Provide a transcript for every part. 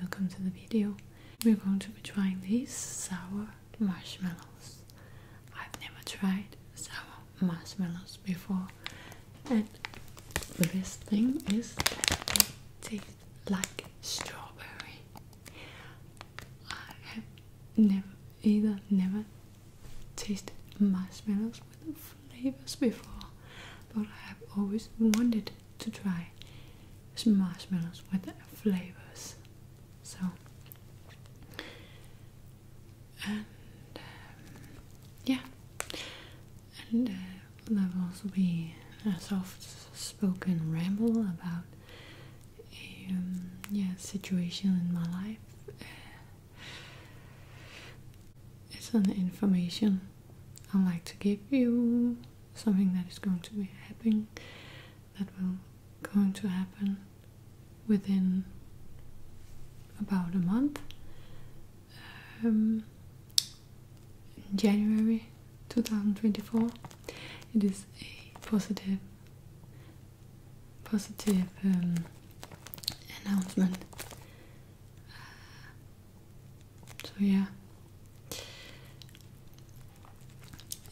Welcome to the video. We're going to be trying these sour marshmallows. I've never tried sour marshmallows before, and the best thing is that they taste like strawberry. I have never either never tasted marshmallows with flavors before, but I have always wanted to try some marshmallows with flavors. So, and um, yeah, and uh, there'll also be a soft-spoken ramble about a um, yeah situation in my life. Uh, it's an information I like to give you something that is going to be happening that will going to happen within about a month um, January 2024 it is a positive positive um, announcement so, yeah,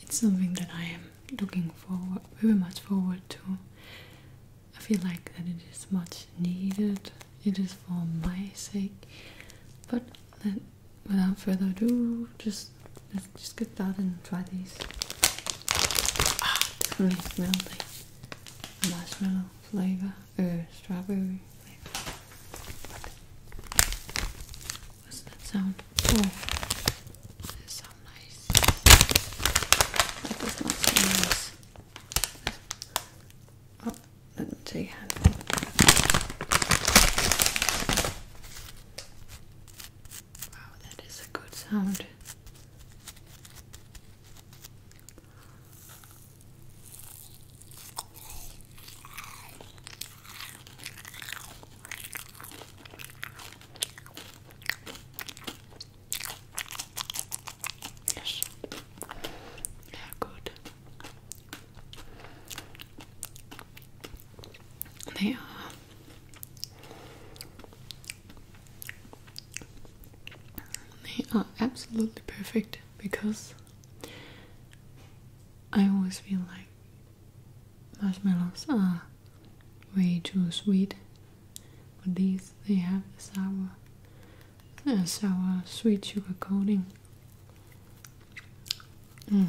it's something that I am looking forward very much forward to. I feel like that it is much needed, it is for my sake, but then, without further ado, just just get started and try these. Ah, definitely smell the marshmallow flavor or strawberry flavor. What's that sound? Oh, that sounds nice. That not sound nice. Oh, let me take a handful. Wow, that is a good sound. Yes. Yeah, good. They are they are absolutely perfect because I always feel like marshmallows are way too sweet, but these they have the sour, uh, sour sweet sugar coating. Mm.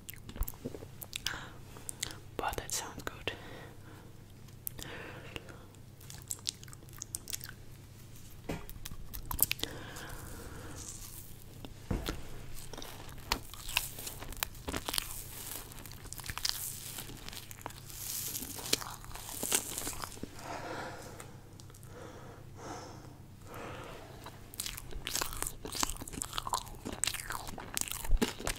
But that sounds good.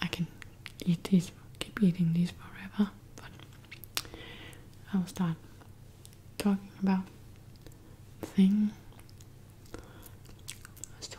I can eat these, keep eating these forever, but I will start talking about the thing. So,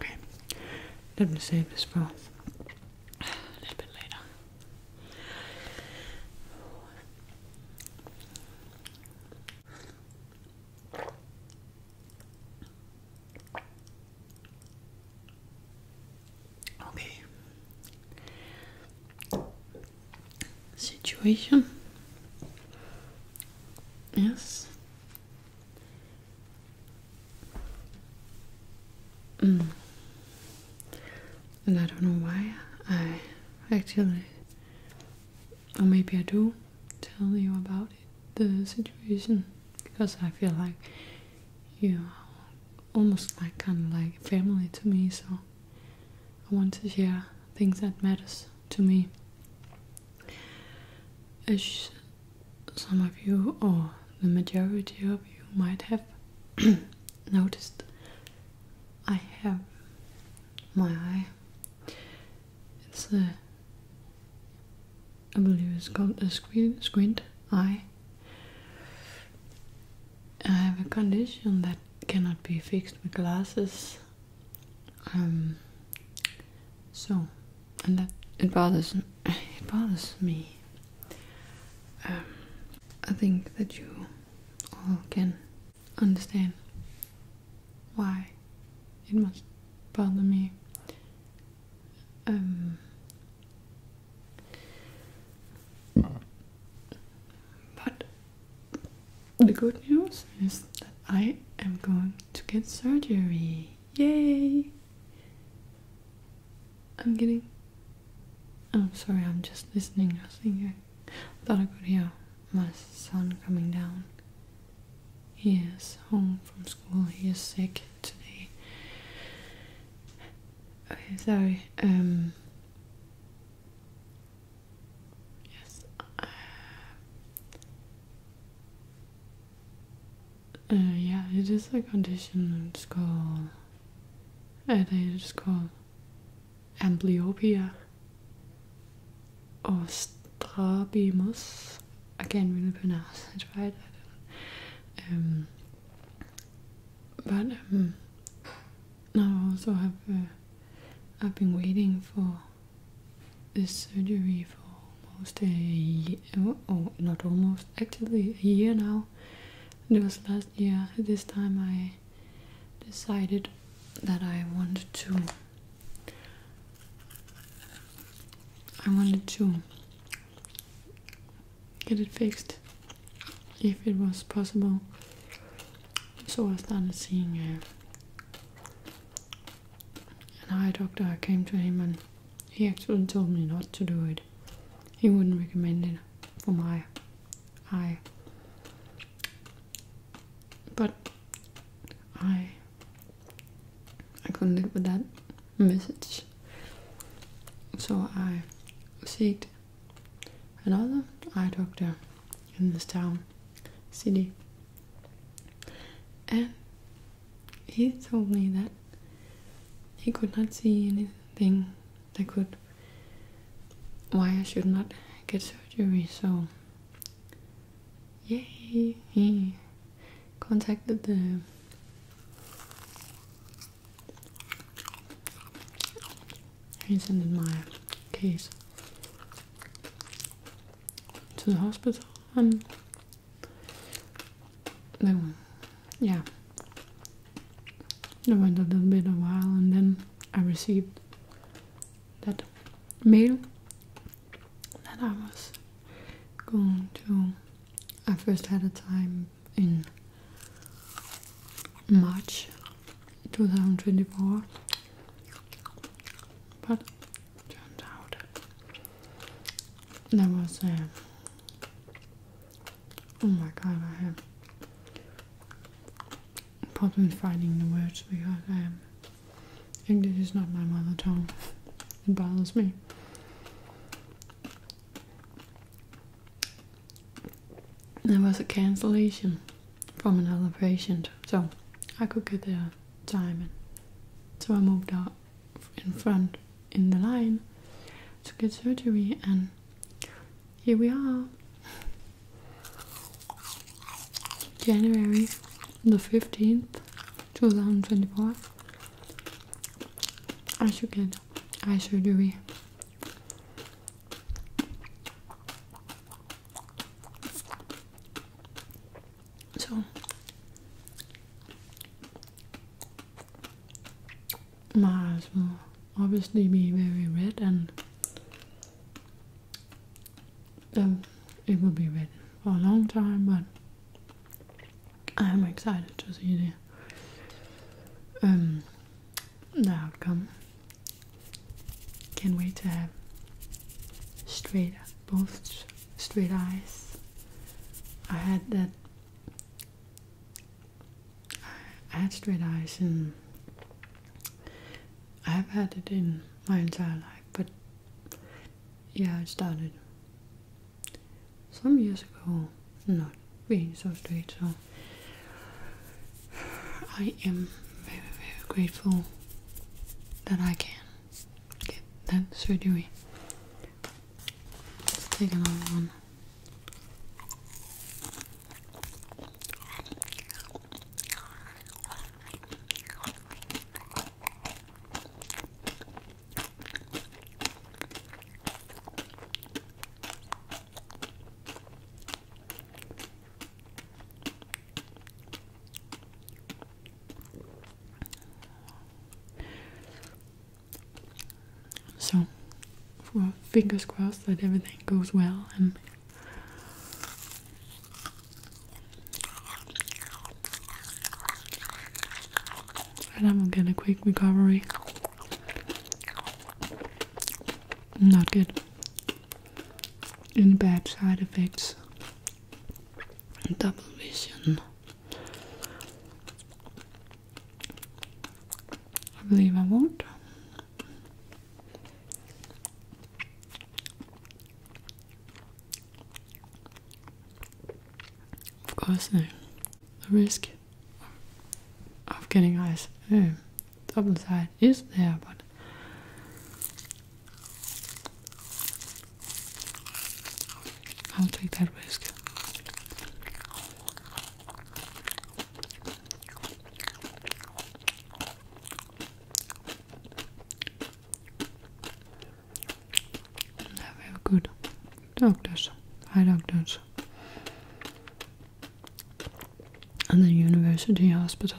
Okay, let me save this for a little bit later. Okay. Situation. Yes. Mm. And I don't know why I actually, or maybe I do tell you about it, the situation because I feel like you are almost like kind of like family to me. So I want to share things that matters to me. As some of you or the majority of you might have noticed, I have my eye. It's a I believe it's called a squint I have a condition that cannot be fixed with glasses. Um, so, and that it bothers it bothers me. Um, I think that you all can understand why it must bother me. Um, but the good news is that I am going to get surgery. Yay! I'm getting. I'm sorry, I'm just listening, I'm nothing here. Thought I could hear my son coming down. He is home from school, he is sick. Anthony. Okay, sorry. Um, yes. Uh, uh, yeah, it is a condition it's called. it uh, is called amblyopia or strabimus. I can't really pronounce it right. but um, now I also have. Uh, I've been waiting for this surgery for almost a year, oh, not almost, actually a year now. it was last year. This time I decided that I wanted to. I wanted to get it fixed if it was possible. So I started seeing a, an eye doctor. I came to him and he actually told me not to do it. He wouldn't recommend it for my eye. But I I couldn't live with that message. So I seeked another eye doctor in this town, city, and he told me that he could not see anything that could why I should not get surgery. So, yay! contacted the he sent my case to the hospital and then, yeah it went a little bit a while and then I received that mail that I was going to I first had a time in March 2024, but turned out there was a oh my god, I have problems finding the words because um, English is not my mother tongue. It bothers me. There was a cancellation from another patient, so I could get the time, so I moved up in front in the line to get surgery, and here we are. January the 15th, 2024. I should get eye surgery. So my eyes will obviously be very red and um, it will be red for a long time but I'm excited to see um, the outcome. Can't wait to have straight both straight eyes. I had that I had straight eyes and I've had it in my entire life, but yeah, I started some years ago not being so straight so I am very very grateful that I can get that surgery. take another one. So, fingers crossed that everything goes well and and I'm gonna get a quick recovery. Not good. Any bad side effects, double vision. I believe I won't. Of course, no. The risk of getting eyes oh, side is there, but I'll take that risk. They were good doctors, high doctors. And then university hospital.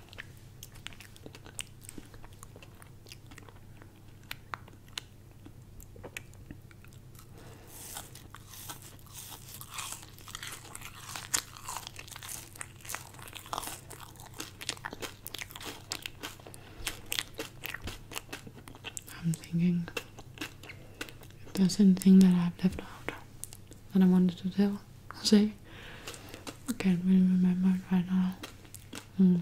I'm thinking if there's anything that I've left out that I wanted to tell, say something. I can't really remember it right now. Mm.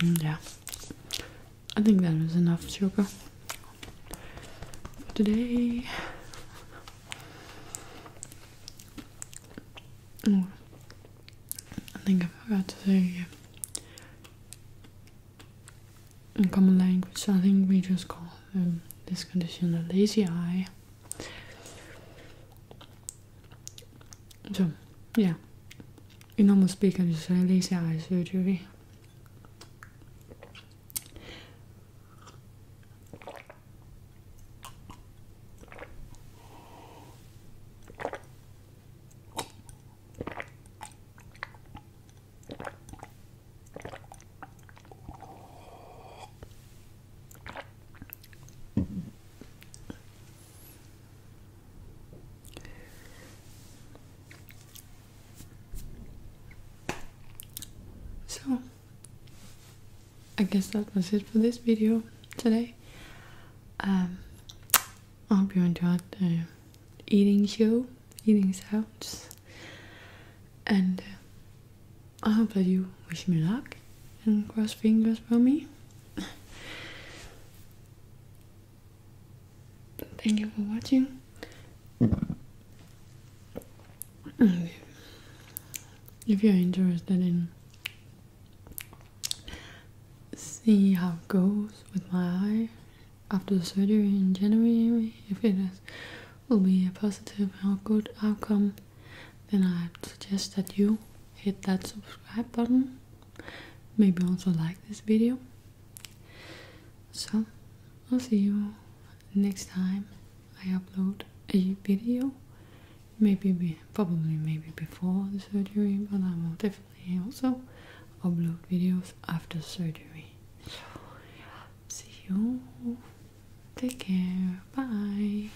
Mm, yeah, I think that was enough sugar for today. I think I forgot to say in common language. I think we just call this condition a lazy eye. So, yeah, in normal speak, I just say lazy eye surgery. So, I guess that was it for this video today. I um, hope you enjoyed the eating show, eating sounds. And uh, I hope that you wish me luck and cross fingers for me. Thank you for watching. If you're interested in see how it goes with my eye after the surgery in January, if it is will be a positive or good outcome, then i suggest that you hit that subscribe button, maybe also like this video. So, I'll see you next time I upload a video. Maybe, probably, maybe before the surgery, but I will definitely also upload videos after surgery. So, see you. Take care. Bye.